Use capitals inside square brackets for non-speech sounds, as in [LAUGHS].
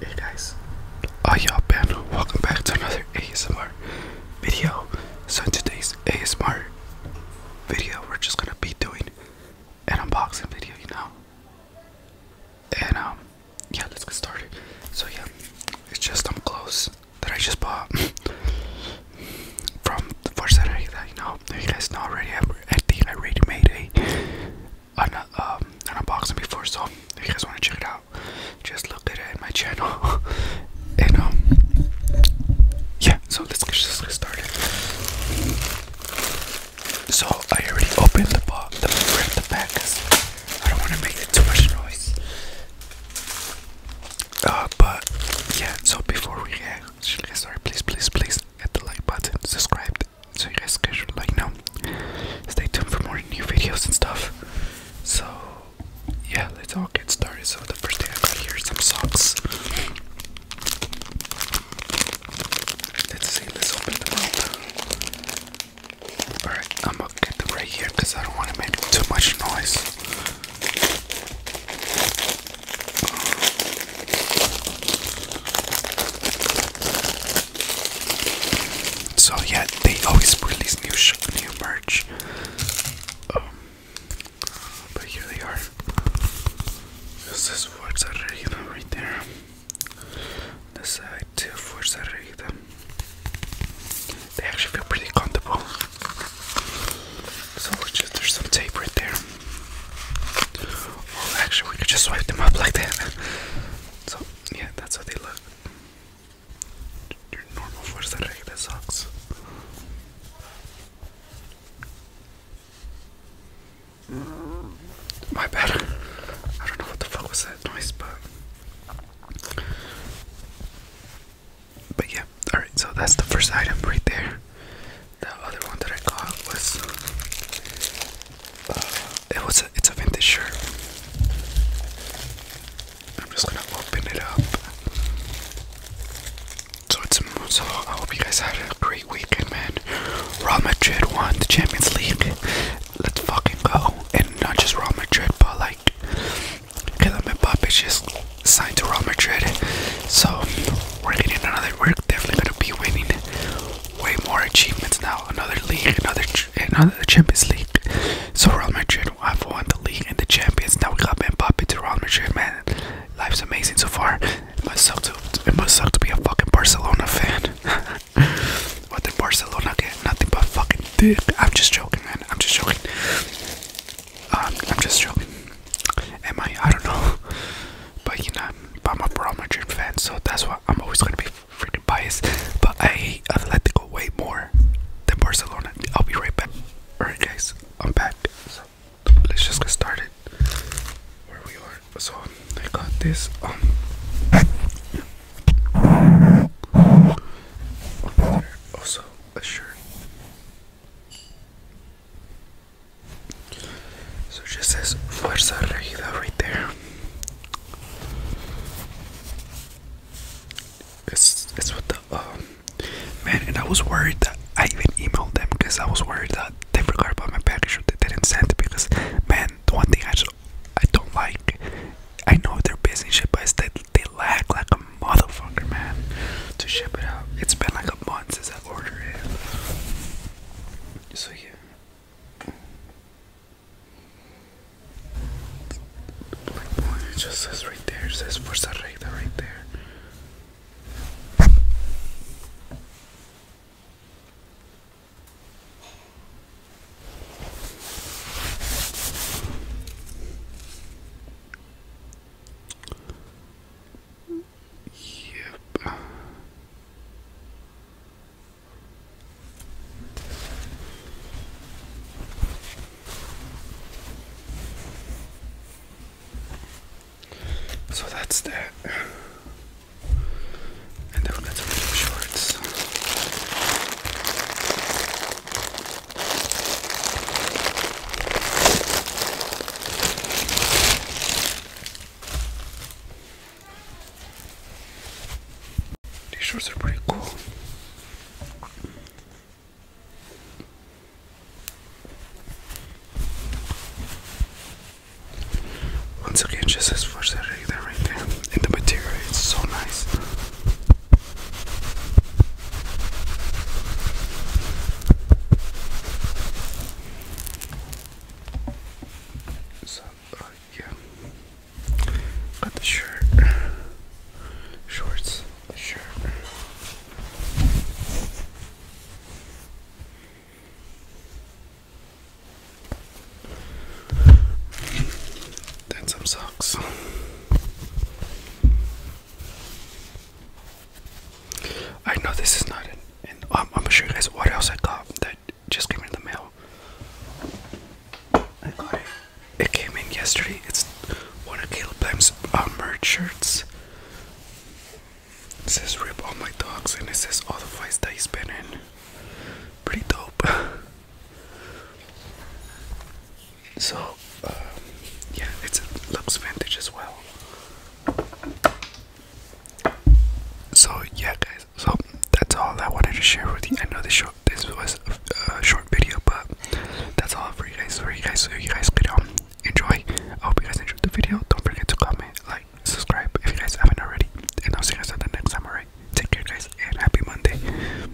Hey guys, Oh y'all been? Welcome back to another ASMR video. So today's ASMR video, we're just gonna be doing an unboxing video, you know. And um, yeah, let's get started. So yeah, it's just some clothes that I just bought [LAUGHS] from for Saturday you know you guys know already. I think I already made a an, um, an unboxing before, so if you guys want to check it out, just look at it in my channel. [LAUGHS] and um, yeah, so let's get, started. So I already opened the box, the, the pack, I don't want to make too much noise. Uh, but yeah, so before we get, get started, please, please, please hit the like button, subscribe so you guys should like know. Stay tuned for more new videos and stuff. So yeah, let's all get started. So the first thing I got here is some socks. Let's see, let's open them up. Alright, I'm gonna get them right here because I don't want to make too much noise. So yeah, they always release new sh new merch. Um, but here they are. This is Forza Regida right there. This side to Forza Regida. They actually feel pretty comfortable. So just there's some tape right there. Oh, actually, we could just swipe them up like that. So, yeah, that's how they look. Your normal fuerza regla socks. My bad. I don't know what the fuck was that noise, but. But yeah, alright, so that's the first item right there. The other one that I got was uh, it was a, it's a vintage shirt. I'm just gonna open it up. So it's a so I hope you guys had a great weekend, man. Real Madrid won the Champions League. Let's fucking go! And not just Real Madrid, but like Kylian Mbappe just signed to Real Madrid. So we're getting another. We're definitely gonna be winning way more achievements now. Another league, another another Champions League. So Real Madrid have won the league and the champions. Now we got Mbappe to Real Madrid. Man, life's amazing so far. It must suck to it must suck to be a fucking Barcelona fan. [LAUGHS] what did Barcelona get? Nothing but fucking dick. I'm just joking, man. I'm just joking. Um, I'm just joking. Am I? I don't know. [LAUGHS] But you know, but I'm a Real Madrid fan, so that's why I'm always gonna be freaking biased. But I hate Atletico way more than Barcelona. I'll be right back. Alright, guys, I'm back. So let's just get started. Where we are. So I got this. Um. Also, a shirt so just says Fuerza Regida right there. It's it's with the um, man, and I was worried that I even emailed them because I was worried that they forgot about my package or they didn't send it because man, the one thing I just I don't like. I know they're busy and that they lag like a motherfucker, man, to ship it out. It's been like a month since I ordered it. So yeah. just says right there, says Forza Recta right there. Yep. So that's that. And then we'll some shorts. These shorts are pretty cool. Once again, just as for Saturday, right there, and the material its so nice. So, uh, yeah, got the shirt, shorts, shirt. Then some socks. I know this is not it, and I'm gonna show you guys what else I got that just came in the mail. I got it. It came in yesterday. It's one of Caleb Lamb's armored uh, shirts. It says "Rip all my dogs" and it says all the fights that he's been in. Pretty dope. [LAUGHS] So, um, yeah, it looks vintage as well. So yeah, guys. So that's all I wanted to share with you. I know this short, this was a, short video, but that's all for you guys. For you guys, so you guys could um, enjoy. I hope you guys enjoyed the video. Don't forget to comment, like, subscribe if you guys haven't already. And I'll see you guys on the next time. Alright, take care, guys, and happy Monday.